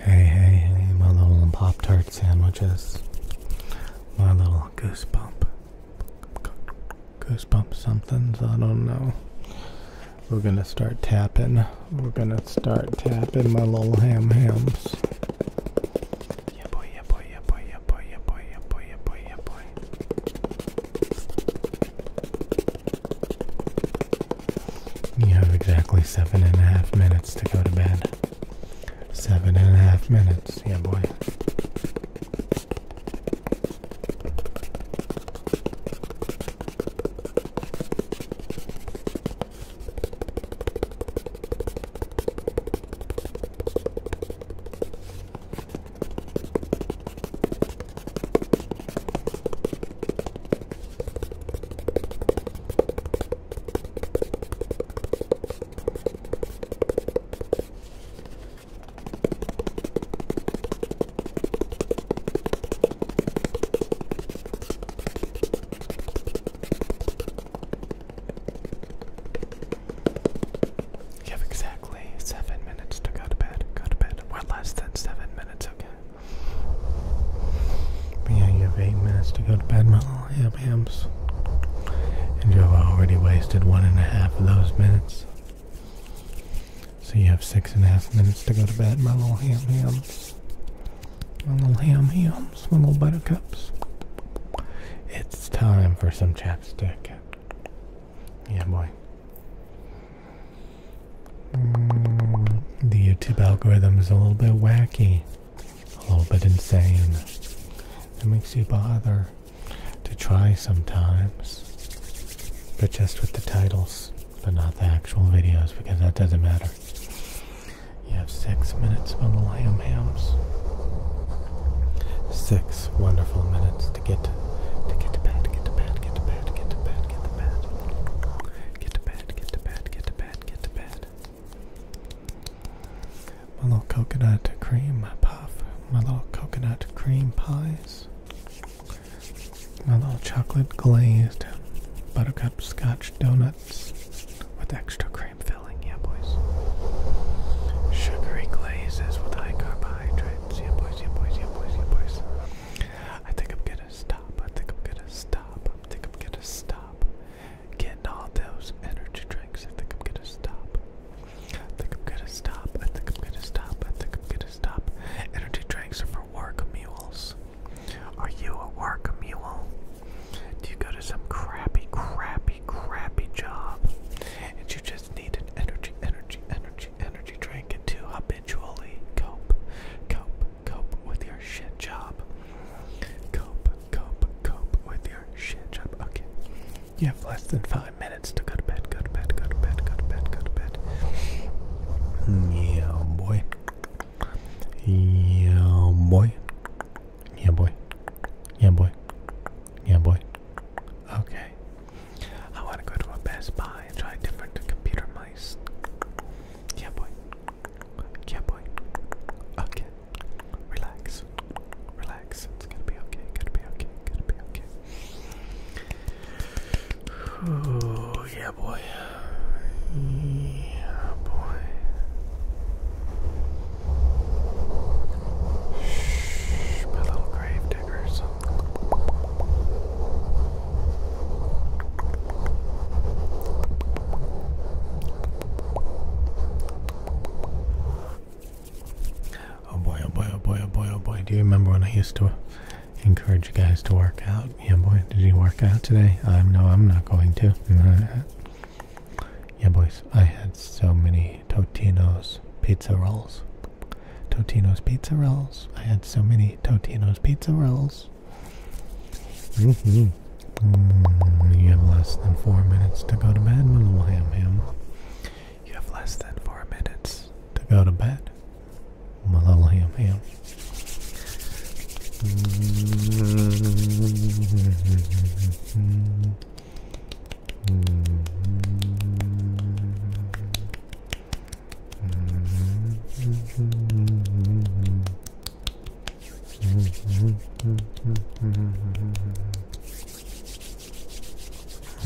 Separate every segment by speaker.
Speaker 1: Hey, hey, hey, my little Pop Tart sandwiches. My little goosebump. Goosebump somethings, I don't know. We're gonna start tapping. We're gonna start tapping my little ham hams. Yeah, boy, yeah, boy, yeah, boy, yeah, boy, yeah, boy, yeah, boy, yeah, boy, yeah, boy. You have exactly seven and a half minutes to go to bed. Seven and a half minutes, yeah, boy. You have exactly seven minutes to go to bed. Go to bed. We're less than seven minutes, okay? yeah, you have eight minutes to go to bed, my little ham hams. And you've already wasted one and a half of those minutes. So you have six and a half minutes to go to bed, my little ham hams. My little ham hams, my little buttercups. It's time for some chapstick. Yeah, boy. Mm, the YouTube algorithm is a little bit wacky, a little bit insane. It makes you bother to try sometimes, but just with the titles, but not the actual videos because that doesn't matter. You have six minutes for the lamb hams. Six wonderful minutes to get to get to bed, get to bed, get to bed, get to bed, get to bed, get to bed, bed, get to bed, get to bed, get to bed. My little coconut cream puff, my little coconut cream pies, my little chocolate glazed buttercup scotch donuts with extra cream filling, yeah, boys.
Speaker 2: Sugary glazes with high carbohydrates, yeah, boys, yeah, boys, yeah, boys, yeah, boys. I think I'm stop. I think I'm gonna stop. I think I'm gonna stop. Getting all those energy drinks. I think I'm gonna stop. think I'm gonna stop. I think I'm gonna stop. I think I'm gonna stop. Energy drinks are for work mules. Are you a work mule? Do you go to some crappy, crappy, crappy job? And you just need an energy, energy, energy energy drink to habitually cope, cope, cope with your shit job. Cope, cope, cope with your shit job. Okay. You have less than five minutes to go to bed, go to bed, go to bed, go to bed, go to bed.
Speaker 1: Yeah, boy. Yeah, boy. Yeah, boy. Yeah, boy. Yeah, boy. Okay. I want to go to a Best Buy and try
Speaker 2: different computer mice. Yeah, boy. Yeah, boy. Okay. Relax. Relax. It's gonna be okay. Gonna be okay. Gonna be okay. Oh, yeah, boy. Yeah, boy. Shh, my little grave diggers.
Speaker 1: Oh boy, oh boy, oh boy, oh boy, oh boy. Do you remember when I used to encourage you guys to work out? Yeah boy, did you work out today? I'm um, no, I'm not going to. Yeah boys, I had so many Totino's pizza rolls. Totino's pizza rolls. I had so many Totino's pizza rolls. Mm-hmm. Mm, you have less than four minutes to go to bed, little ham ham. You have less than four minutes to go to bed, little ham ham.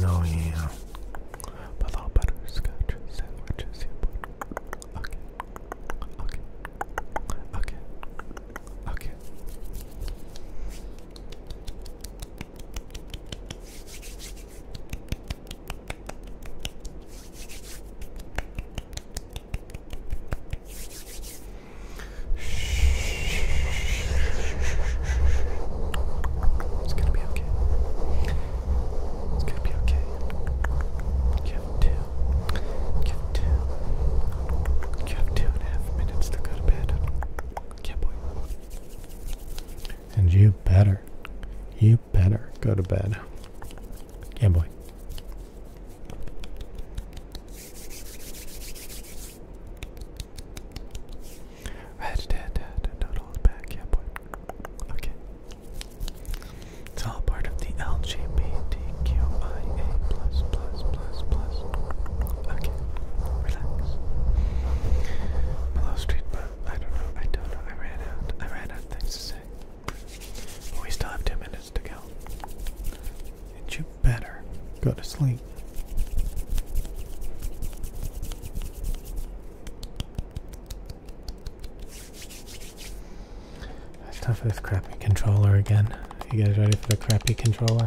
Speaker 1: No, yeah.
Speaker 2: But all butterscotch sandwiches, yeah. Okay. Okay. Okay. Okay. It's
Speaker 1: gonna be okay. It's gonna be okay. You have two. You have two. You have two and a half minutes to go to bed. Yeah, boy. And you better, you better go to bed. Yeah, boy.
Speaker 2: Red Dead, Dead, Total is back. Yeah, boy. Okay. It's all part of the LGBTQIA plus plus plus plus. Okay, relax. Hello, street bug. I don't know. I don't know. I ran out. I ran out of things to say. we still have two minutes to go.
Speaker 1: And you better go to sleep. It's time for this crappy controller again. You guys ready for the crappy controller?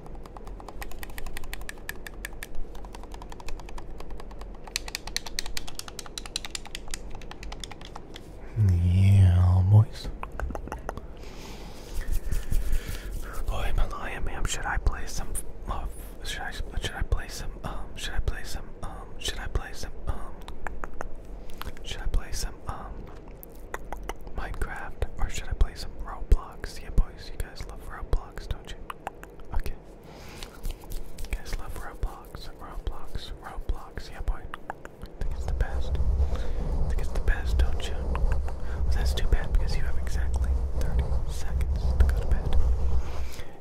Speaker 1: Yeah, boys.
Speaker 2: Boy, Malaya, ma'am, should I play some? Uh, should I? Should I play some? Um, should I play some? Um, should I play some? Um, should I play some? Um, Minecraft, or should I play some Roblox? Yeah, boys, you guys love Roblox don't you? Okay. You guys love Roblox, Roblox, Roblox. Yeah, boy. I think it's the best. think it's the best, don't you? that's too bad because you have exactly 30 seconds to go to bed.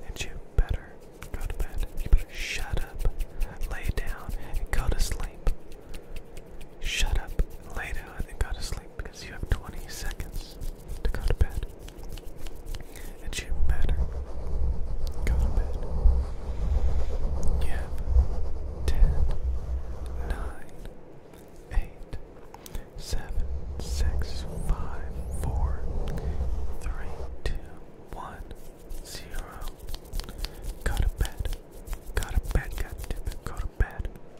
Speaker 2: And you better go to bed. You better shut up, lay down, and go to sleep. Shut up, lay down, and go to sleep because you have 20 seconds to go to bed. It shouldn't Go to bed. You have 10, 9, 8, 7, 6, 5, 4, 3, 2, 1, 0. Go to bed. Go to bed, goddammit. Go to bed.